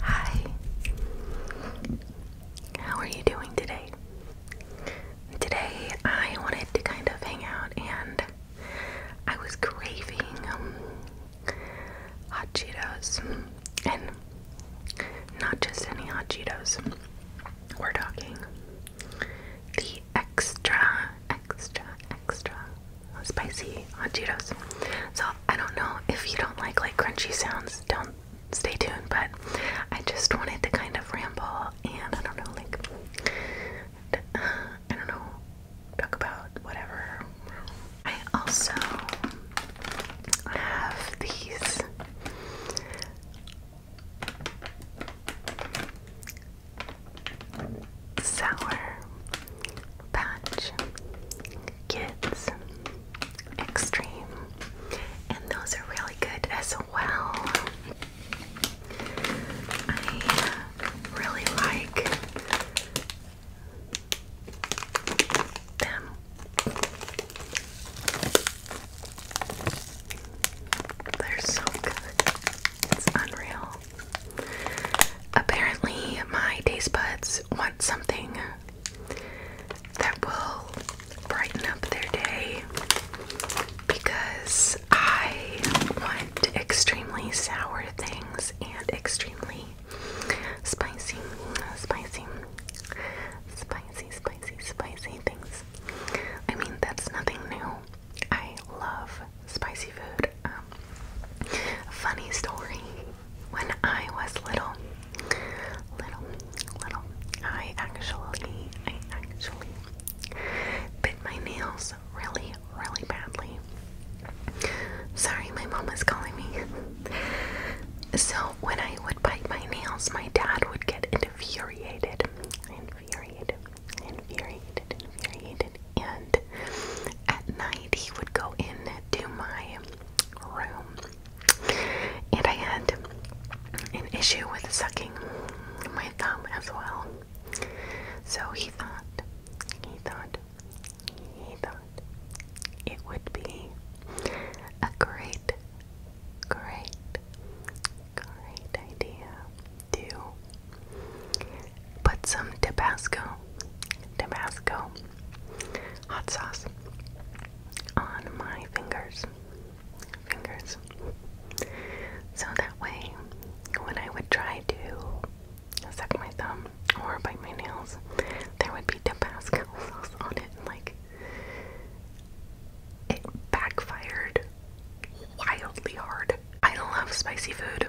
Hi. How are you doing today? Today I wanted to kind of hang out and I was craving um, hot Cheetos and not just any hot Cheetos. We're talking the extra extra, extra spicy hot Cheetos. So I don't know if you don't like like crunchy sounds, don't stay tuned. But I just wanted to kind of ramble and I don't know, like uh, I don't know, talk about whatever. I also have these Sour punch, Kids Extreme, and those are really good as well. I really like them. They're so good. It's unreal. Apparently, my taste buds want something that will brighten up their day because I want extremely sour things and extremely spicy, spicy, spicy, spicy, spicy things. I mean, that's nothing new. I love spicy food. Um, funny story. When I was little, little, little, I actually, I actually bit my nails really, really badly. Sorry, my mom is calling me. So when I would bite my nails, my dad would get infuriated, infuriated, infuriated, infuriated. And at night, he would go in do my room, and I had an issue with sucking my thumb as well. So he thought, he thought, he thought it would be a great, great, great idea to put some Tabasco, Tabasco hot sauce on my fingers, fingers. So that way, when I would try to suck my thumb or bite my nails, there would be Tabasco sauce on it. Like it backfired wildly hard. I love spicy food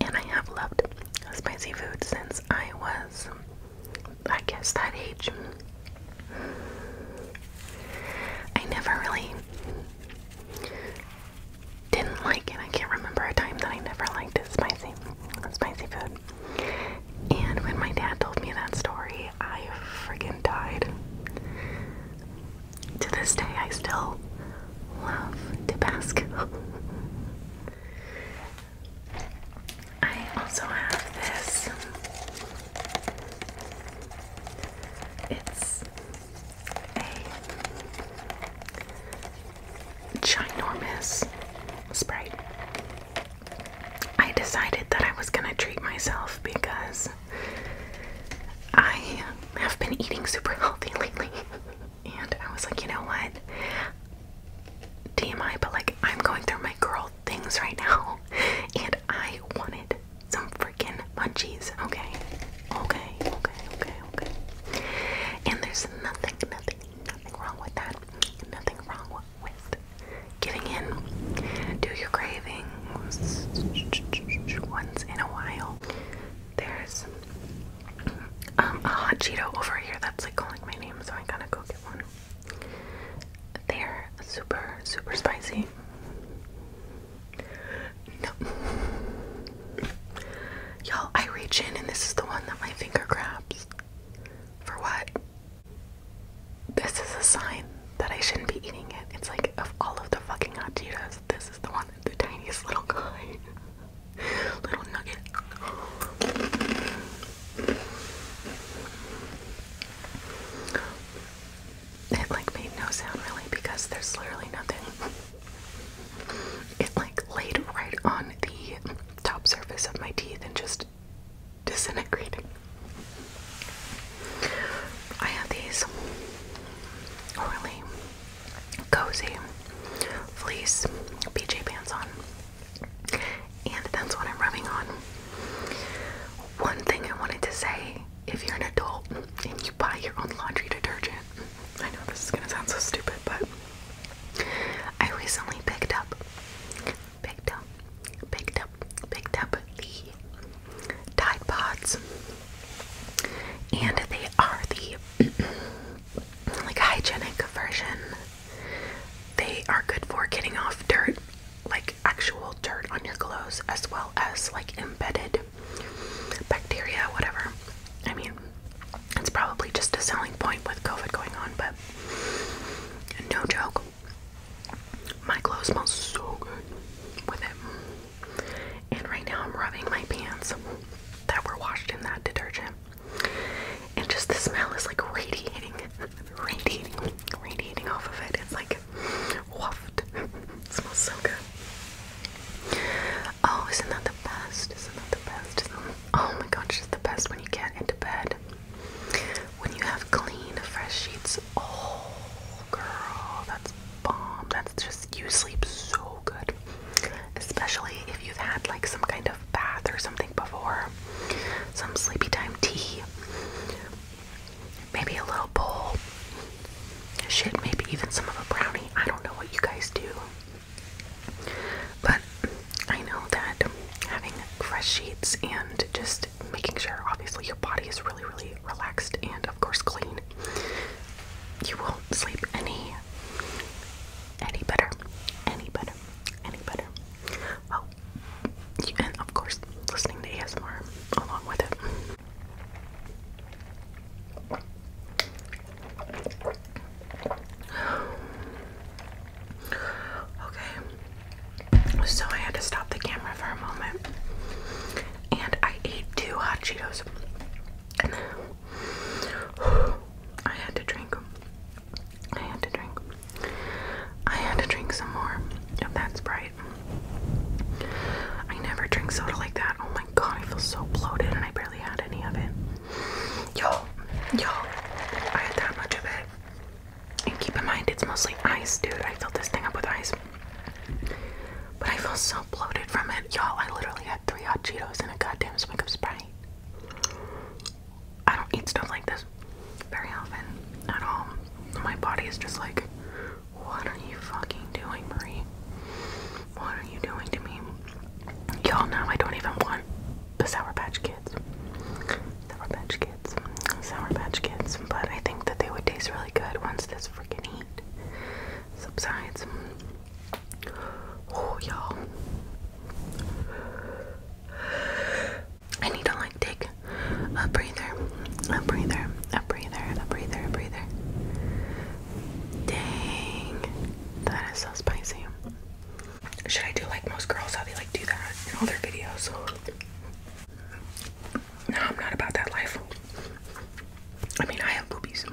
and I have loved spicy food since I was, I guess, that age. I never really didn't like it. I can't remember a time that I never liked spicy, spicy food. And when my dad told me that story, I freaking died. To this day, I still love Tabasco. I also have this. It's a ginormous Sprite. I decided that I was gonna treat myself because I have been eating super healthy lately and I was like, you know what? TMI, but like I'm going through my girl things right now, and I wanted some freaking munchies. Okay, okay, okay, okay, okay. And there's nothing, nothing, nothing wrong with that. Nothing wrong with giving in. to your cravings once in a while. There's um, a hot Cheeto over here that's like calling my name, so I gotta go get one. They're super, super spicy. No. Y'all, I reach in and this is the one that my finger grabs. For what? This is a sign that I shouldn't be eating it. It's like, of all of the fucking hot Cheetos, this is the one that's the tiniest little guy. little nugget. It like made no sound really because there's literally nothing. It like laid right on the top surface of my teeth and just disintegrated. I have these really cozy fleece PJ pants on. And that's what I'm rubbing on. One thing I wanted to say if you're an adult and you buy your own laundry detergent, I know this is gonna sound so stupid, but I recently picked up, picked up, picked up, picked up the Tide Pods, and they are the like hygienic version. They are good for getting off dirt, like actual dirt on your clothes, as well as like embedded bacteria, whatever. I mean, it's probably just a selling point with COVID going on, but no joke. My clothes smell so good with it. And right now I'm rubbing my pants that were washed in that detergent. And just the smell is like radiating, radiating, radiating off of it. It's like waft. it smells so good. Oh, isn't that the best? Isn't that the best? Oh my gosh, it's the best when you get into bed. When you have clean, fresh sheets. Oh, girl, that's bomb. That's just, you sleep so good especially if you've had like some kind of bath or something before, some sleepy time tea, maybe a little bowl, shit, maybe even some of a brownie. I don't know what you guys do, but I know that having fresh sheets and just making sure, obviously, your body is really, really relaxed and, of course, clean. You won't sleep any any better? Any better? Any better? Oh, and of course, listening to ASMR along with it. Okay, so I had to stop the camera for a moment, and I ate two hot Cheetos. I had to drink. I had to drink. I had to drink some more of that Sprite. I never drink soda like that. Oh my god, I feel so bloated and I barely had any of it. Yo, yo, I had that much of it. And keep in mind, it's mostly ice, dude. I filled this thing up with ice. But I feel so bloated from it. Y'all, I literally had three hot Cheetos and a goddamn swig of Sprite. I don't eat stuff like this very often at all. My body is just like, what are you fucking doing, Marie? What are you doing to me? Y'all know I don't even want the Sour Patch Kids. Sour Patch Kids. Sour Patch Kids. But I think that they would taste really good once this freaking heat subsides. Oh, y'all. I need to like take a breather, a breather, a breather, a breather, a breather. Dang, that is so spicy. Should I do like most girls? How they like do that in all their videos? No, I'm not about that life. I mean, I have boobies.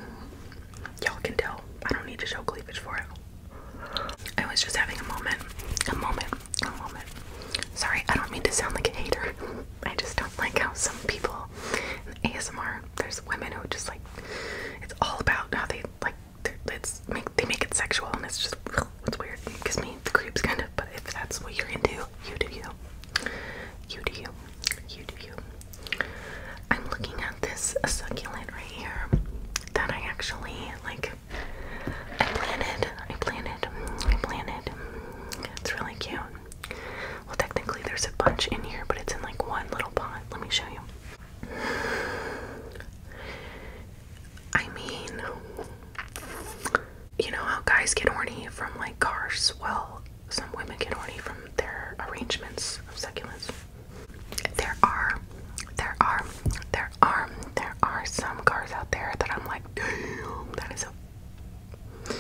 Y'all can tell I don't need to show cleavage for it. I was just having a moment. A moment. A moment. Sorry, I don't mean to sound like a hater. I just don't like how some people in ASMR, there's women who just like, it's all about how they like, it's make, they make it sexual and it's just, it's weird. It gives me the creeps kind of, but if that's what you're into, you do you. You do you. I'm looking at this succulent right here that I actually like. I planted. I planted. I planted. It's really cute. Well, technically, there's a bunch in here, but it's in like one little pot. Let me show you. I mean, you know how guys get horny from like cars? Well, some women get horny from their arrangements of succulents there are, there are, there are, there are some cars out there that I'm like, damn, that is a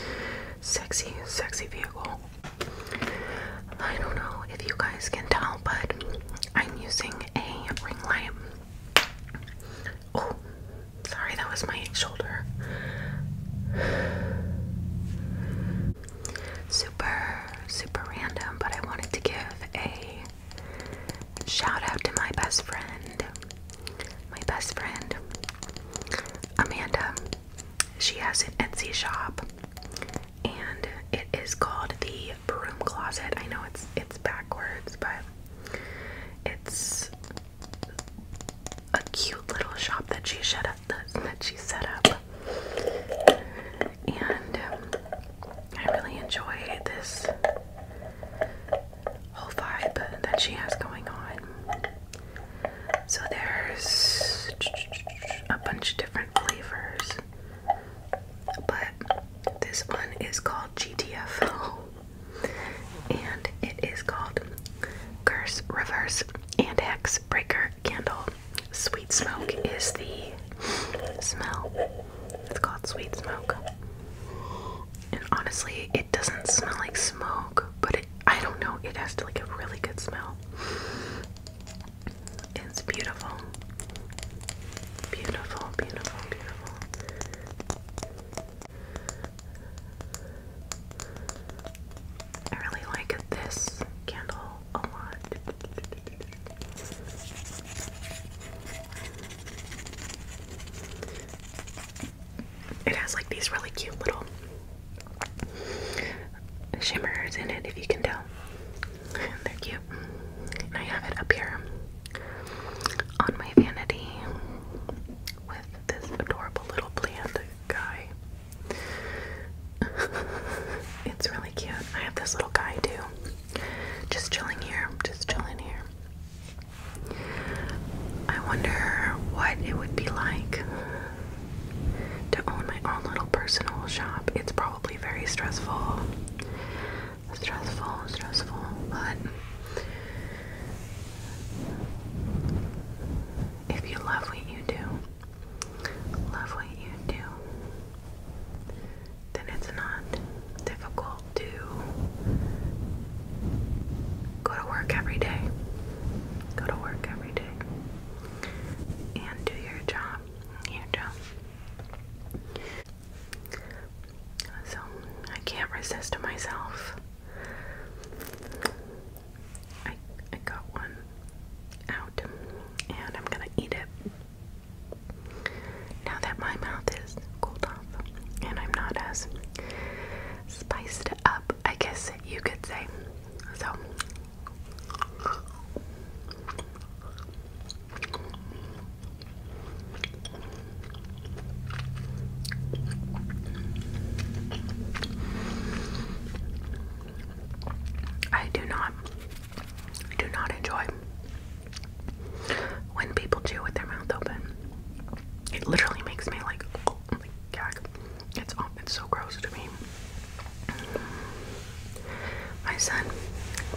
sexy, sexy vehicle. I don't know if you guys can tell, but I'm using a ring light. Oh, sorry, that was my shoulder super, super random, but I wanted to give a shout out to my best friend. My best friend, Amanda. She has an Etsy shop and it is called the Broom Closet. I know it's it's backwards, but it's a cute little shop that she shut up that she set up. And um, I really enjoy this whole vibe that she has going on. So there's a bunch of different flavors, but this one is called GTFO and it is called Curse Reverse and Hex Breaker Candle. Sweet smoke is the smell. It's called sweet smoke. And honestly, it doesn't smell like smoke, but it, I don't know, it has like a really good smell. It's beautiful. Beautiful, beautiful, beautiful. I really like this candle a lot. It has like these really cute little shimmers in it, if you can tell. They're cute. I have it up here on my vanity with this adorable little plant guy. it's really cute. I have this little guy too. Just chilling here. Just chilling here. I wonder what it would be like to own my own little personal shop. It's probably very stressful. Stressful, stressful, but if you love what you do, love what you do, then it's not difficult to go to work every day. Go to work every day and do your job. Your job. So I can't resist myself. I, I got one out and I'm gonna eat it now that my mouth is cooled off and I'm not as spiced up, I guess you could say. So, I do not do not enjoy when people chew with their mouth open. It literally makes me like oh, gag. It's oh, it's so gross to me. My son,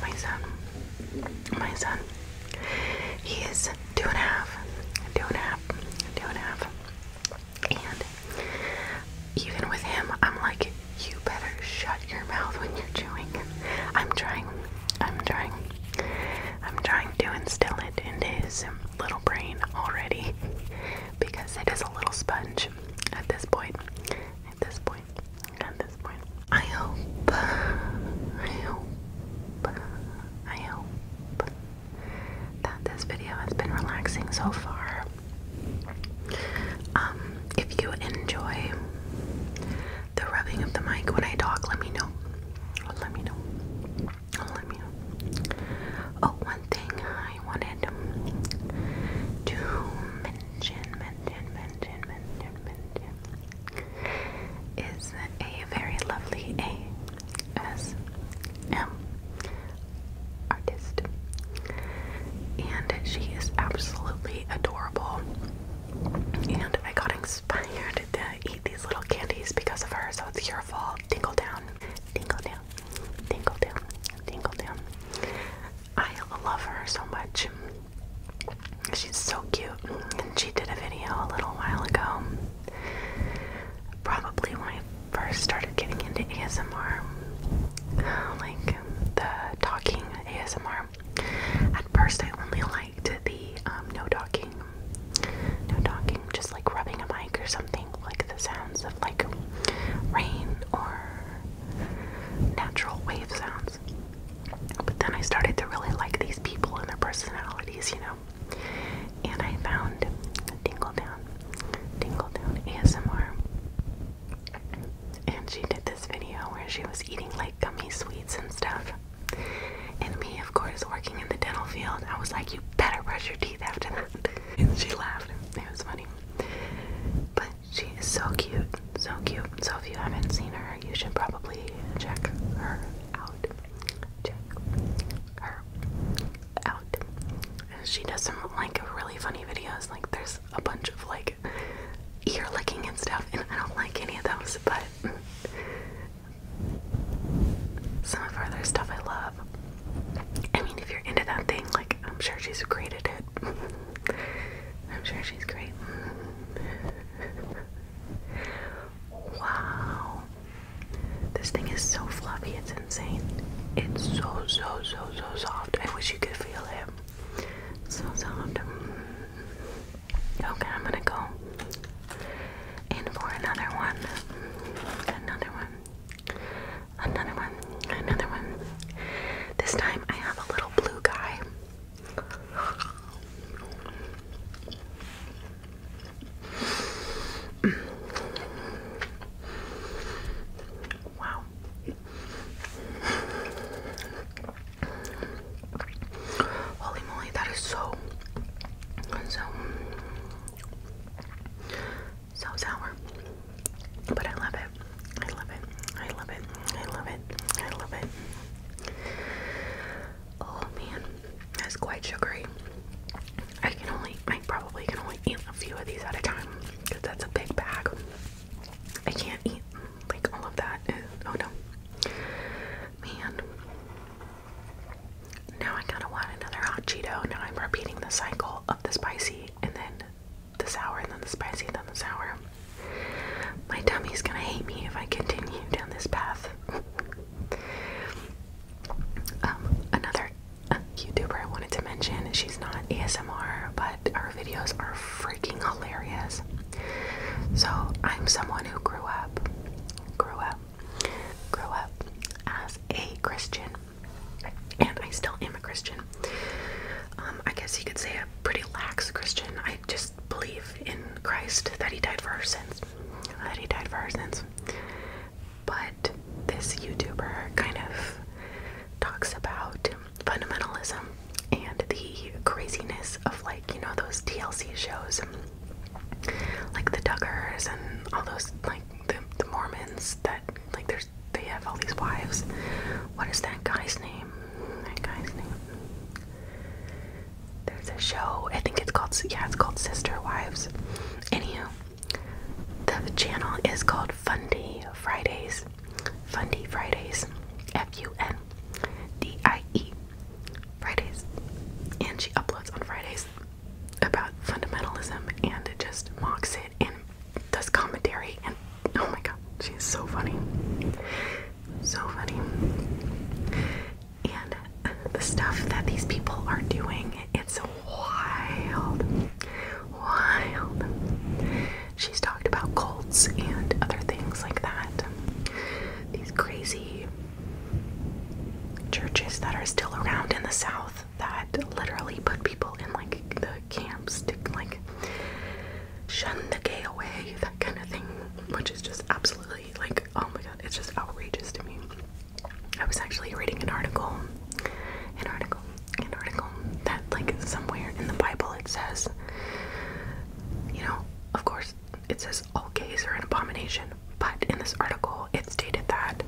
my son, my son. He is two and a half, two and a half, two and a half. And even with him, I'm like, you better shut your mouth when you're chewing. I'm trying, I'm trying, I'm trying to instill it into his little brain already because it is a little sponge at this point. At this point, at this point. I hope, I hope, I hope that this video has been relaxing so far. Um, if you enjoy the rubbing of the mic when I talk, let me know. Let me know. Let me know. Oh, one thing I wanted to mention, mention, mention, mention, mention is a very lovely A S M artist. And she is absolutely adorable. And I got inspired to eat these little candies because of her, so it's your fault. Tingle down, tingle down, tingle down, tingle down. I love her so much. She's so cute. And she did a video a little while ago. Probably my first started getting into ASMR, like the talking ASMR, at first I only liked the um, no talking, no talking, just like rubbing a mic or something, like the sounds of like rain or natural wave sounds. But then I started to really like these people and their personalities, you know. And I found Dingletown, Dingletown ASMR and she did this video where she was eating like gummy sweets and stuff. And me, of course, working in the dental field, I was like, you better brush your teeth after that. And she laughed. It was funny. But she is so cute. So cute. So if you haven't seen her, you should probably check her out. Check her out. She does some like really funny videos. Like there's a bunch of like ear licking and stuff, and I don't like any of those, but some of her other stuff I love. I mean, if you're into that thing, like, I'm sure she's great at it. I'm sure she's great. wow. This thing is so fluffy, it's insane. It's so, so, so, so soft. I wish you could feel it. So soft. Mm, okay, I'm gonna go in for another one. Another one. Another one. Another one. This time I have a little blue guy. Wow. Holy moly, that is so, so, so sour. But I love it. I love it. I love it. I love it. I love it. Oh man, that's quite sugary. I can only, I probably can only eat a few of these at a time because that's a big bag. I can't eat like all of that. oh no. Man. Now I gotta want another hot Cheeto. Now I'm repeating the cycle of the spicy and then the sour and then the spicy and then the sour. My tummy's gonna hate me if I continue down this path. um, another YouTuber I wanted to mention. She's not ASMR, but her videos are freaking hilarious. So I'm someone who grew up, grew up, grew up as a Christian, and I still am a Christian. Um, I guess you could say a pretty lax Christian. I just believe in Christ that He died for our sins, that He died for our sins. But this YouTuber kind of talks about fundamentalism and the craziness of like you know those TLC shows, like the Duggars and all those like the, Mormons that like there's they have all these wives. What is that guy's name? That guy's name. There's a show. I think it's called yeah, it's called Sister Wives. Anywho, the channel is called Fundy Fridays. Fundy Fridays. F U N D I E. Fridays. And she uploads on Fridays about fundamentalism and it just mocks it and does commentary and oh my god, she's so funny. So funny. And the stuff that these people are doing, it's wild wild. She's talked about cults and other things like that. These crazy churches that are still around in the South that literally put people in like the camps to like shun the gay away, that kind of thing, which is just absolutely like, oh my god, it's just outrageous to me. I was actually reading an article, an article an article that like somewhere in the Bible it says, you know, of course it says all gays are an abomination, but in this article it stated that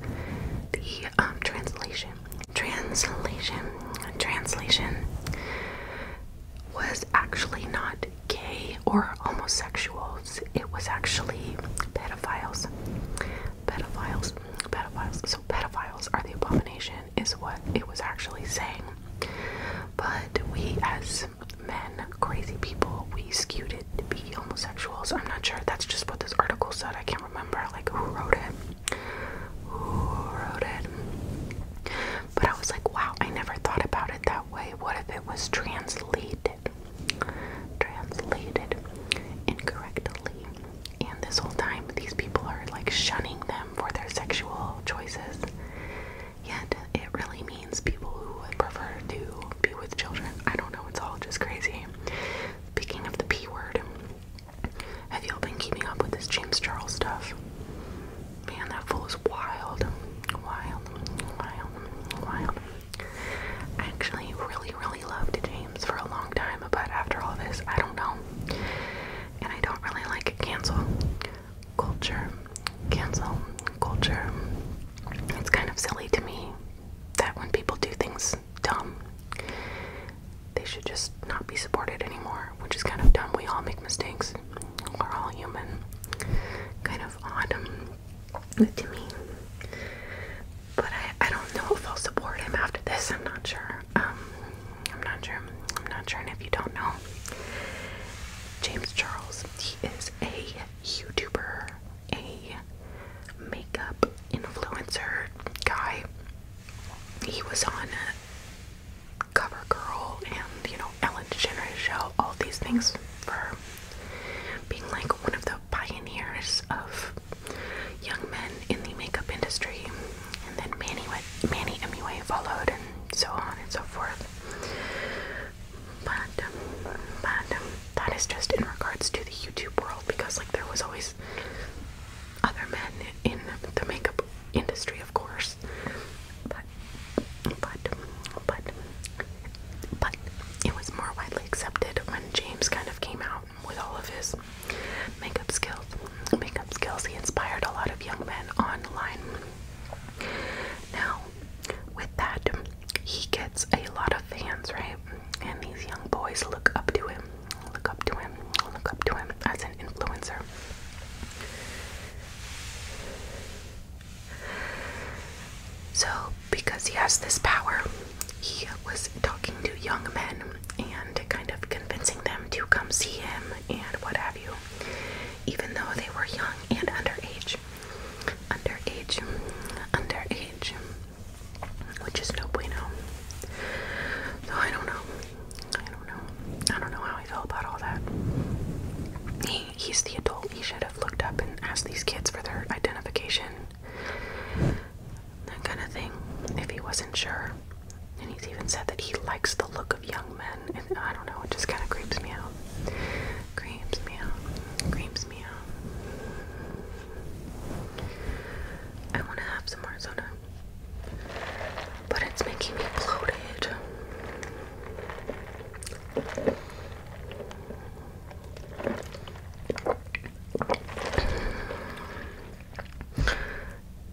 the um, translation, translation, translation was actually not gay or homosexuals. It was actually pedophiles, pedophiles, pedophiles. So pedophiles are the abomination is what it was actually saying. But we as men, crazy people, we skewed it to be homosexuals. I'm not sure. That's just what this article said. I can't remember like who wrote it. Who wrote it? But I was like, wow, I never thought about it that way. What if it was translated? Translated incorrectly. And this whole time, these people are like shunning them for their sexual choices. Yet, it really means people who would prefer to be with children. I don't know, it's all just crazy. Speaking of the P word, have y'all been keeping up with this James Charles stuff? Man, that fool is wild. Wild, wild, wild. actually really, really loved James for a long time, but after all this, I don't know. And I don't really like cancel culture. Cancel culture. It's kind of silly to me that when people do things dumb, they should just not be supported anymore, which is kind of dumb. We all make mistakes. We're all human. Kind of odd um, to me. But I, I don't know if I'll support him after this. I'm not sure. Um, I'm not sure. I'm not sure. if you don't know, James Charles, he is a YouTuber, a makeup influencer guy. He was on CoverGirl and, you know, Ellen DeGeneres show, all these things for being like one of the pioneers of young men in the makeup industry, and then Manny, Manny MUA followed, and so on and so forth. But, um, but um, that is just in regards to the YouTube world because, like, there was always other men in the makeup industry, of course. But, but, but, but it was more widely accepted when James kind of came out with all of his makeup skills. Makeup skills. He inspired a lot of young men online. Now, with that, he gets a lot of fans, right? And these young boys look up to him, look up to him, look up to him as an influencer. So, because he has this power, he was talking to young men and kind of convincing them to come see him and what have you, even though they were young and underage. Underage, underage, which is no bueno. So I don't know. I don't know. I don't know how I feel about all that. he's the adult. He should have looked up and asked these kids for their identification that kind of thing, if he wasn't sure. And he's even said that he likes the look of young men. And I don't know, it just kind of creeps me out. Creeps me out. Creeps me out. I want to have some more soda. But it's making me bloated.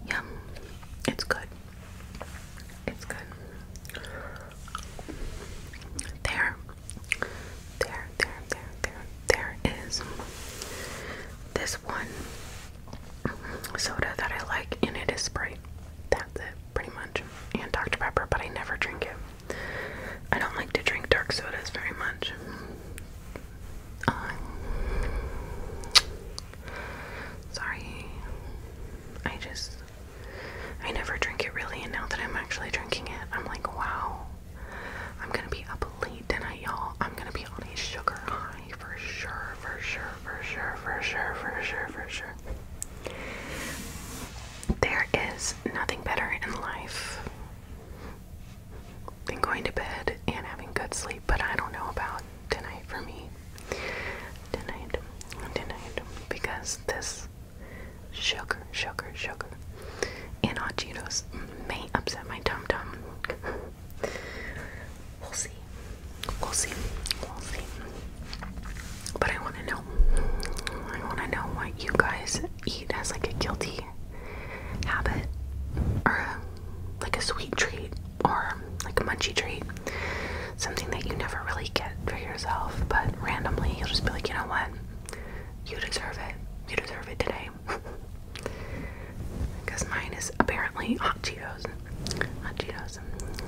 Yum. It's good. It's good. There. There, there, there, there, there is this one soda that I like, and it is Sprite. That's it, pretty much. And Dr. Pepper, but I never drink it. I don't like to drink dark sodas very much. Um, sorry. I just. I never drink it really, and now that I'm actually drinking it, I'm like, wow. I'm gonna be up late tonight, y'all. I'm gonna be on a sugar high for sure, for sure, for sure, for sure, for sure, for sure. There is nothing better in life and going to bed and having good sleep, but I don't know about tonight for me. Tonight, tonight, because this sugar, sugar, sugar, and hot may upset my tum tum. we'll see. We'll see. We'll see. But I want to know. I want to know what you guys eat as like a guilty habit or um, like a sweet treat or um, like a munchy treat. Something that you never really get for yourself, but randomly you'll just be like, you know what? You deserve it. You deserve it today. Because mine is apparently hot Cheetos. Hot Cheetos.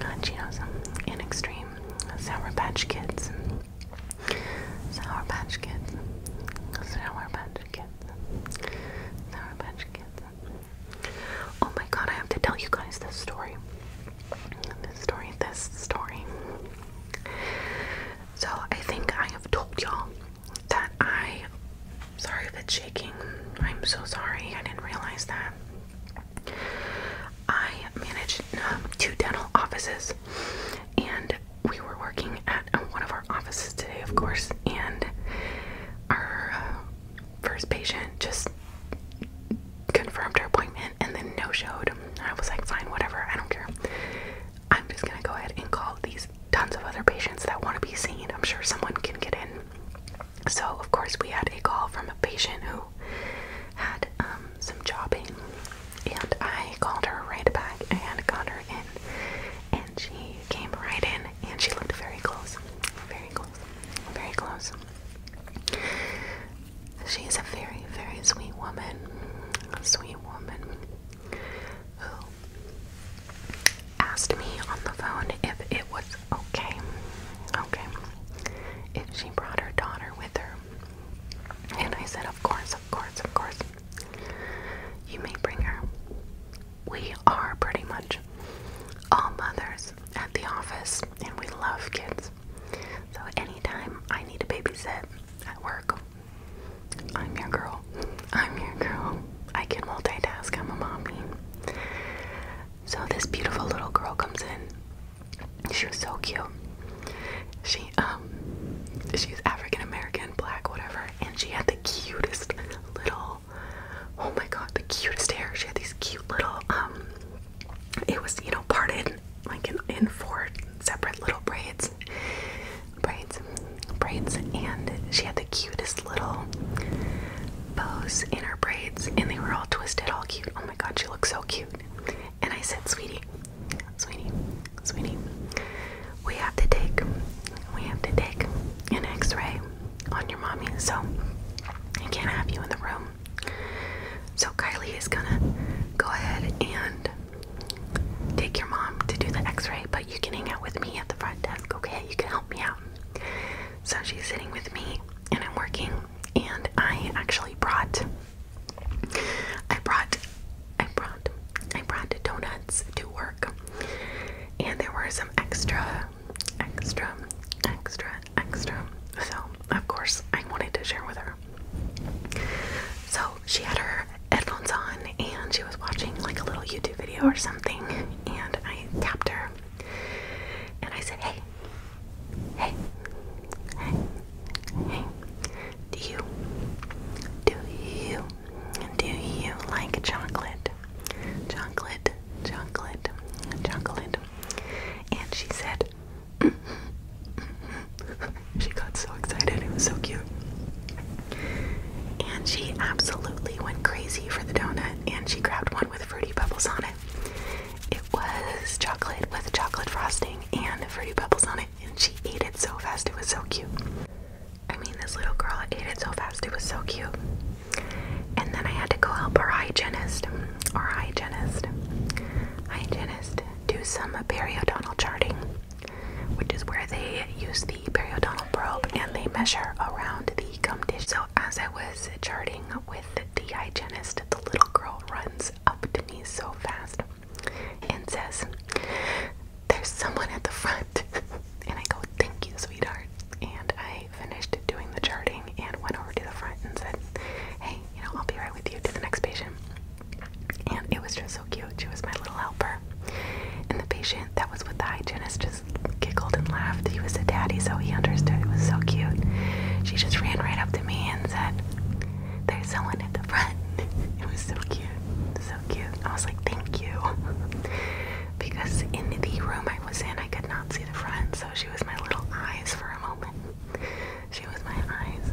Hot Cheetos. In extreme. Sour Patch Kids. Sour Patch Kids. Sour Patch Patch Kids. Sour Oh my god, I have to tell you guys this story. This story, this story. So I think I have told y'all that I sorry if it's shaking. I'm so sorry. I didn't realize that. I managed um, two dental offices and we were working at at one of our offices today, of course, and our uh, first patient just confirmed her appointment and then no showed. I was like, fine, whatever, I don't care. I'm just gonna go ahead and call these tons of other patients that want to be seen. I'm sure someone can get in. So, of course, we had a call from a patient who had um, some jobbing, and I called her right back and got her in. And she came right in and she looked very close. Very close. Very close. She is a very, very sweet woman. A sweet woman who asked me on the phone if it was okay. Okay. If she brought her daughter with her. And I said, Of course, of course, of course. You may bring her we are pretty much all mothers at the office and we love kids. So anytime I need a babysit at work, I'm your girl. I'm your girl. I can multitask. I'm a mommy. So this beautiful little girl comes in. She was so cute. She um she's African American, black, whatever, and she had the cutest little Oh my god, the cutest hair. She had these cute little um, it was, you know, parted like in four separate little braids. Braids. Braids and she had the cutest little bows in her braids and they were all twisted, all cute. Oh my god, she looked so cute. And I said, Sweetie, sweetie, sweetie, we have to take we have to take an x-ray on your mommy so I can't have you in the room so Kylie is gonna go ahead and take your mom to do the x-ray but you can hang out with me at the front desk okay you can help me out so she's sitting with me and I'm working and I actually brought I brought I brought I brought donuts to work and there were some extra, extra, extra, extra. So, of course, I wanted to share with her. So, she had her headphones on and she was watching like a little YouTube video or something. And I tapped her and I said, Hey, hey, hey, hey, do you, do you do you like chocolate? Chocolate, chocolate, chocolate. And she said, she got so excited, it was so cute. And she absolutely went crazy for the donut, and she grabbed one with fruity pebbles on it. It was chocolate with chocolate frosting and fruity pebbles on it, and she ate it so fast, it was so cute. I mean, this little girl ate it so fast, it was so cute. And then I had to go help our hygienist, our hygienist, hygienist, do some periodontal charting, which is where they use the periodontal probe and they measure around the gum tissue. So as I was charting with the hygienist, the little girl runs up to me so fast and says, there's someone at the front. and I go, Thank you, sweetheart. And I finished doing the charting and went over to the front and said, Hey, you know, I'll be right with you to the next patient. And it was just so cute. She was my little helper. And the patient that was with the hygienist just giggled and laughed. He was a daddy, so he understood. It was so cute. She just ran right up to me and said, There's someone at the front. It was so cute. So cute. I was like, Thank you because in the room I was in, I could not see the front, so she was my little eyes for a moment. She was my eyes.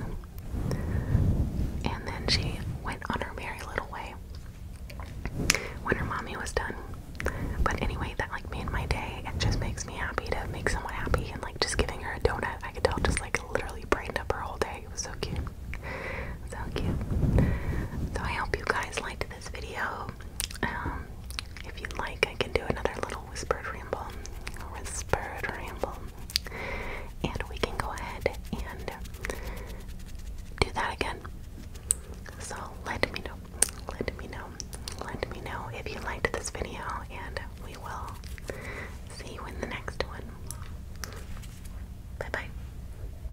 And then she went on her merry little way when her mommy was done. But anyway, that like made my day. It just makes me happy to make someone happy and like just giving her a donut. I could tell just like literally brightened up her whole day. It was so cute. So cute. So I hope you guys liked this video. Um, if you like, I can do another little whispered ramble, whispered ramble, and we can go ahead and do that again. So let me know, let me know, let me know if you liked this video, and we will see you in the next one. Bye bye.